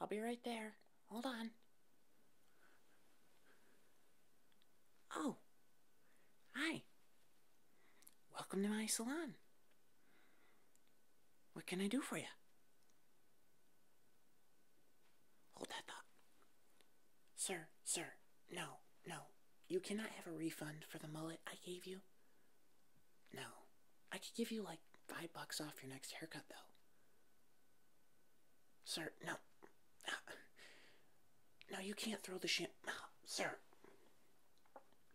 I'll be right there. Hold on. Oh, hi. Welcome to my salon. What can I do for you? Hold that thought. Sir, sir, no, no. You cannot have a refund for the mullet I gave you. No. I could give you like five bucks off your next haircut, though. Sir, no. No, you can't throw the shampoo. Sir.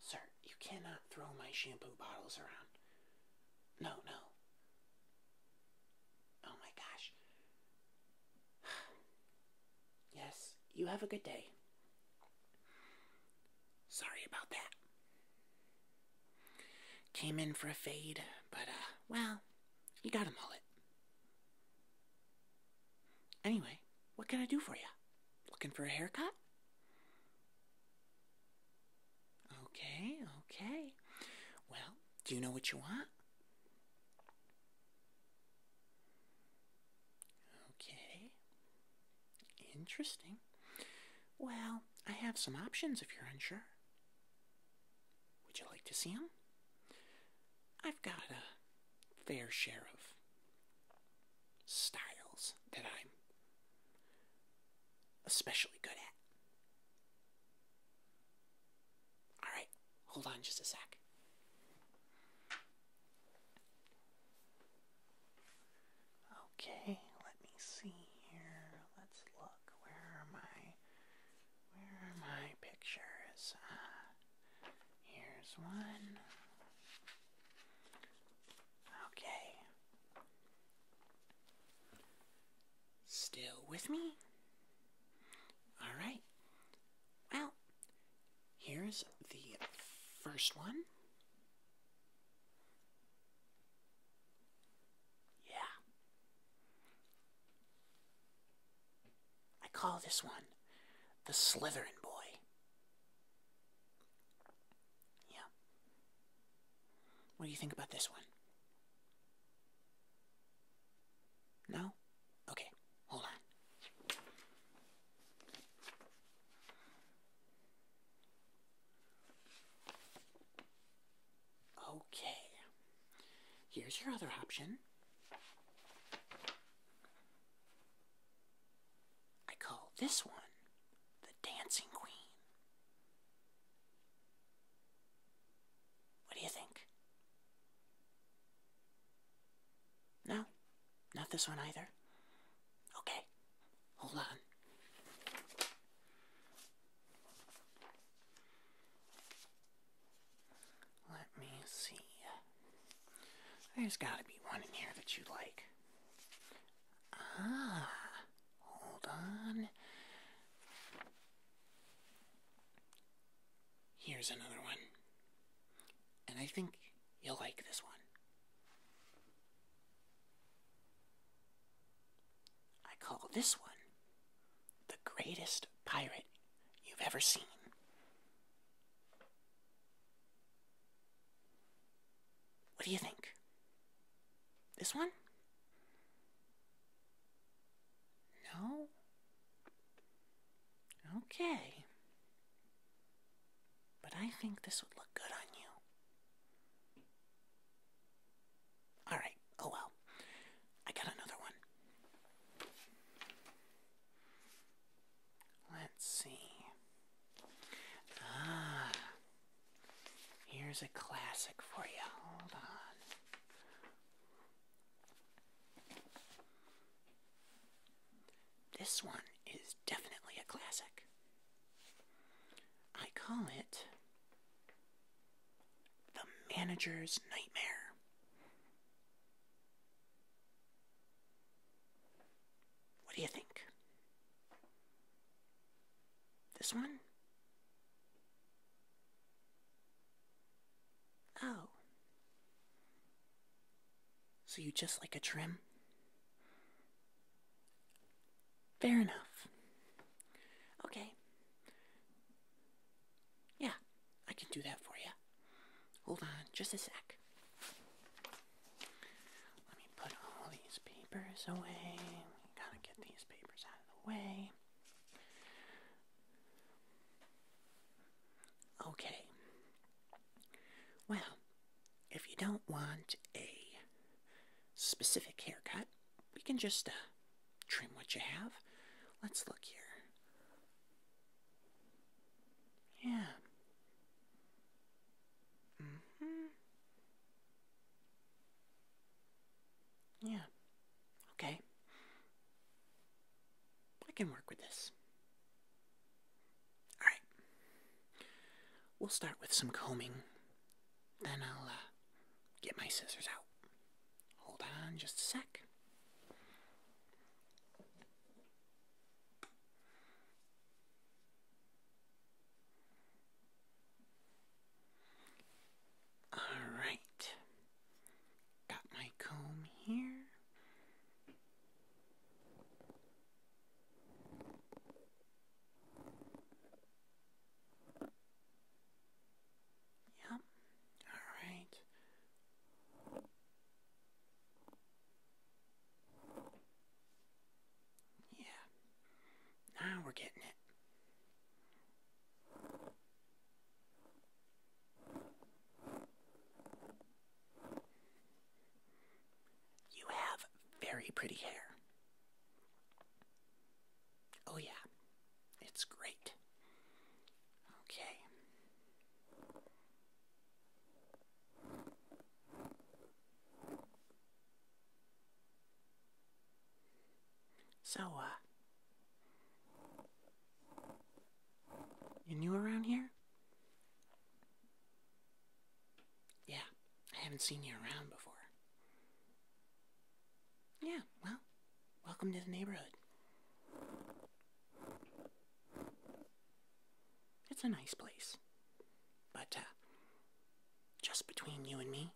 Sir, you cannot throw my shampoo bottles around. No, no. Oh my gosh. Yes, you have a good day. Sorry about that. Came in for a fade, but, uh, well, you got a mullet. Anyway, what can I do for you? Looking for a haircut? Okay, okay. Well, do you know what you want? Okay. Interesting. Well, I have some options if you're unsure. Would you like to see them? I've got a fair share of styles that I'm especially good at. Alright, hold on just a sec. Okay, let me see here. Let's look. Where are my where are my pictures? Ah, here's one. Okay. Still with me? Alright. Well, here's the first one. Yeah. I call this one the Slytherin Boy. Yeah. What do you think about this one? No? Okay, hold on. Okay, here's your other option. I call this one the Dancing Queen. What do you think? No, not this one either. Okay, hold on. Let me see. There's gotta be one in here that you like. Ah, hold on. Here's another one. And I think You'll like this one. I call this one the greatest pirate you've ever seen. What do you think? This one? No? Okay. But I think this would look good on you. Alright, oh well. I got another one. Let's see. Ah, here's a classic for you. Hold on. This one is definitely a classic. I call it The Manager's Nightmare. What do you think? This one? Oh. So you just like a trim? Fair enough. Okay. Yeah, I can do that for you. Hold on just a sec. Let me put all these papers away. gotta get these papers out of the way. Okay. Well, if you don't want a specific haircut, we can just uh, trim what you have. Let's look here. Yeah. Mm hmm Yeah. Okay. I can work with this. Alright. We'll start with some combing. Then I'll uh, get my scissors out. Hold on just a sec. Alright. Got my comb here. Yep. All right. Yeah. Now we're getting it. You have very pretty hair. Oh, yeah, it's great. Okay. So, uh, you're new around here? Yeah, I haven't seen you around before. Yeah, well, welcome to the neighborhood. It's a nice place. But, uh, just between you and me,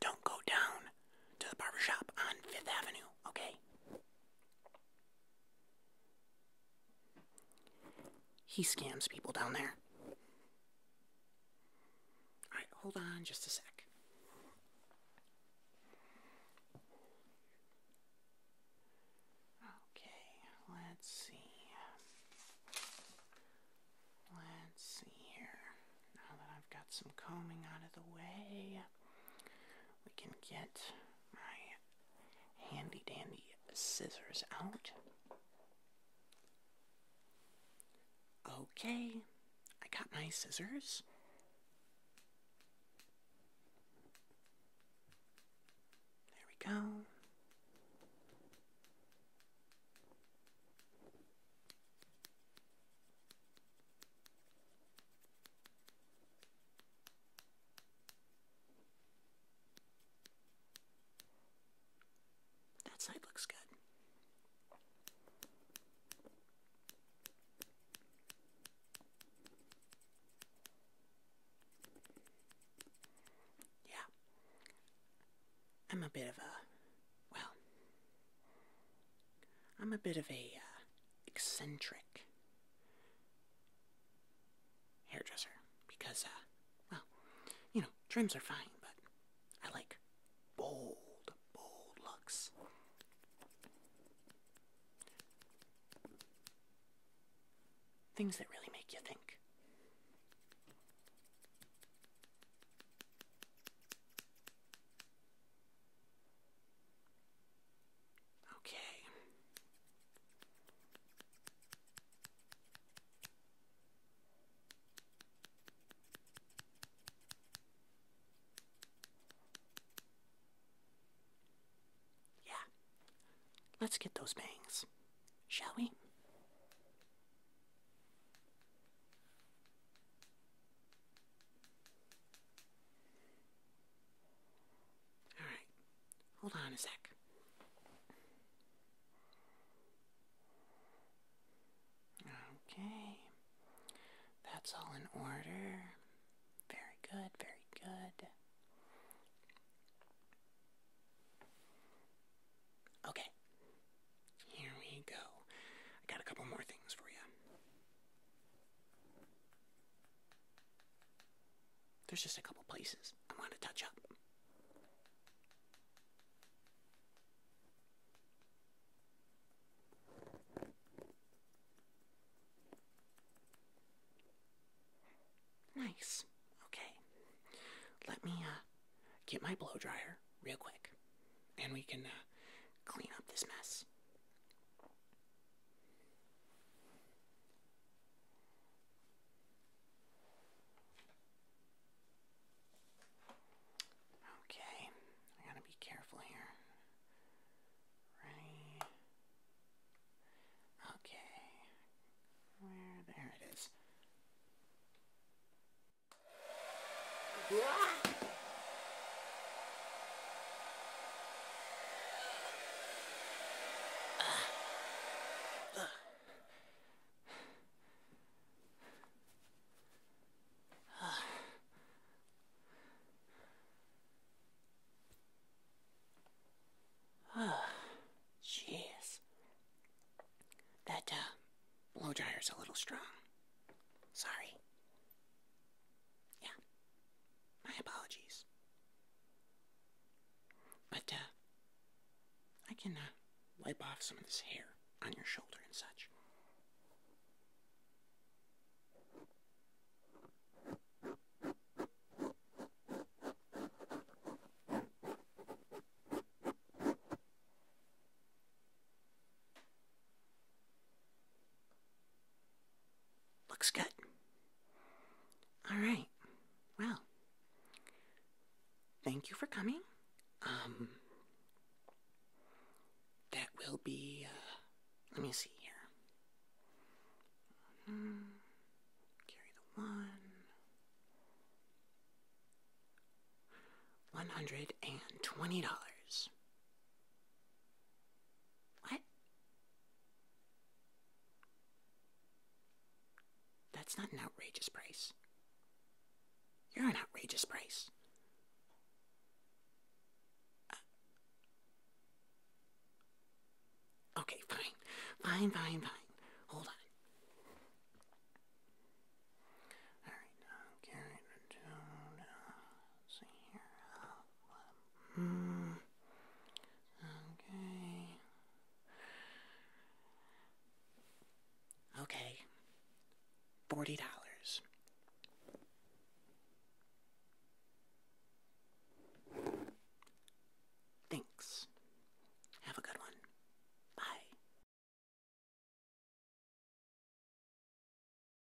don't go down to the barbershop on Fifth Avenue, okay? He scams people down there. Alright, hold on just a sec. Okay, let's see. Let's see here. Now that I've got some combing out of the way, we can get my handy dandy scissors out. Okay, I got my scissors. There we go. That side looks good. Yeah. I'm a bit of a, well, I'm a bit of a uh, eccentric hairdresser because, uh, well, you know, trims are fine, but I like bold, bold looks. Things that really make you think. Okay. Yeah. Let's get those bangs, shall we? All right. Hold on a sec. Okay. That's all in order. Very good, very good. Okay. Here we go. I got a couple more things for you. There's just a couple places I want to touch up. Nice. Okay. Let me uh, get my blow dryer real quick and we can uh, clean up this mess. Okay, I gotta be careful here. Right. Okay. Where? There it is. That uh, blow dryer's a little strong. Sorry. Yeah. My apologies. But, uh, I can, uh, wipe off some of this hair on your shoulder and such. Looks good. All right. Well, thank you for coming. Um, that will be, uh, let me see here. Mm-hmm. carry the one. 120 dollars what? That's not an outrageous price. You're an outrageous price. Uh, okay, fine. Fine, fine, fine. Hold on. Alright, now carry it uh, Okay. Mm. Okay. Forty dollars. Thanks. Have a good one. Bye.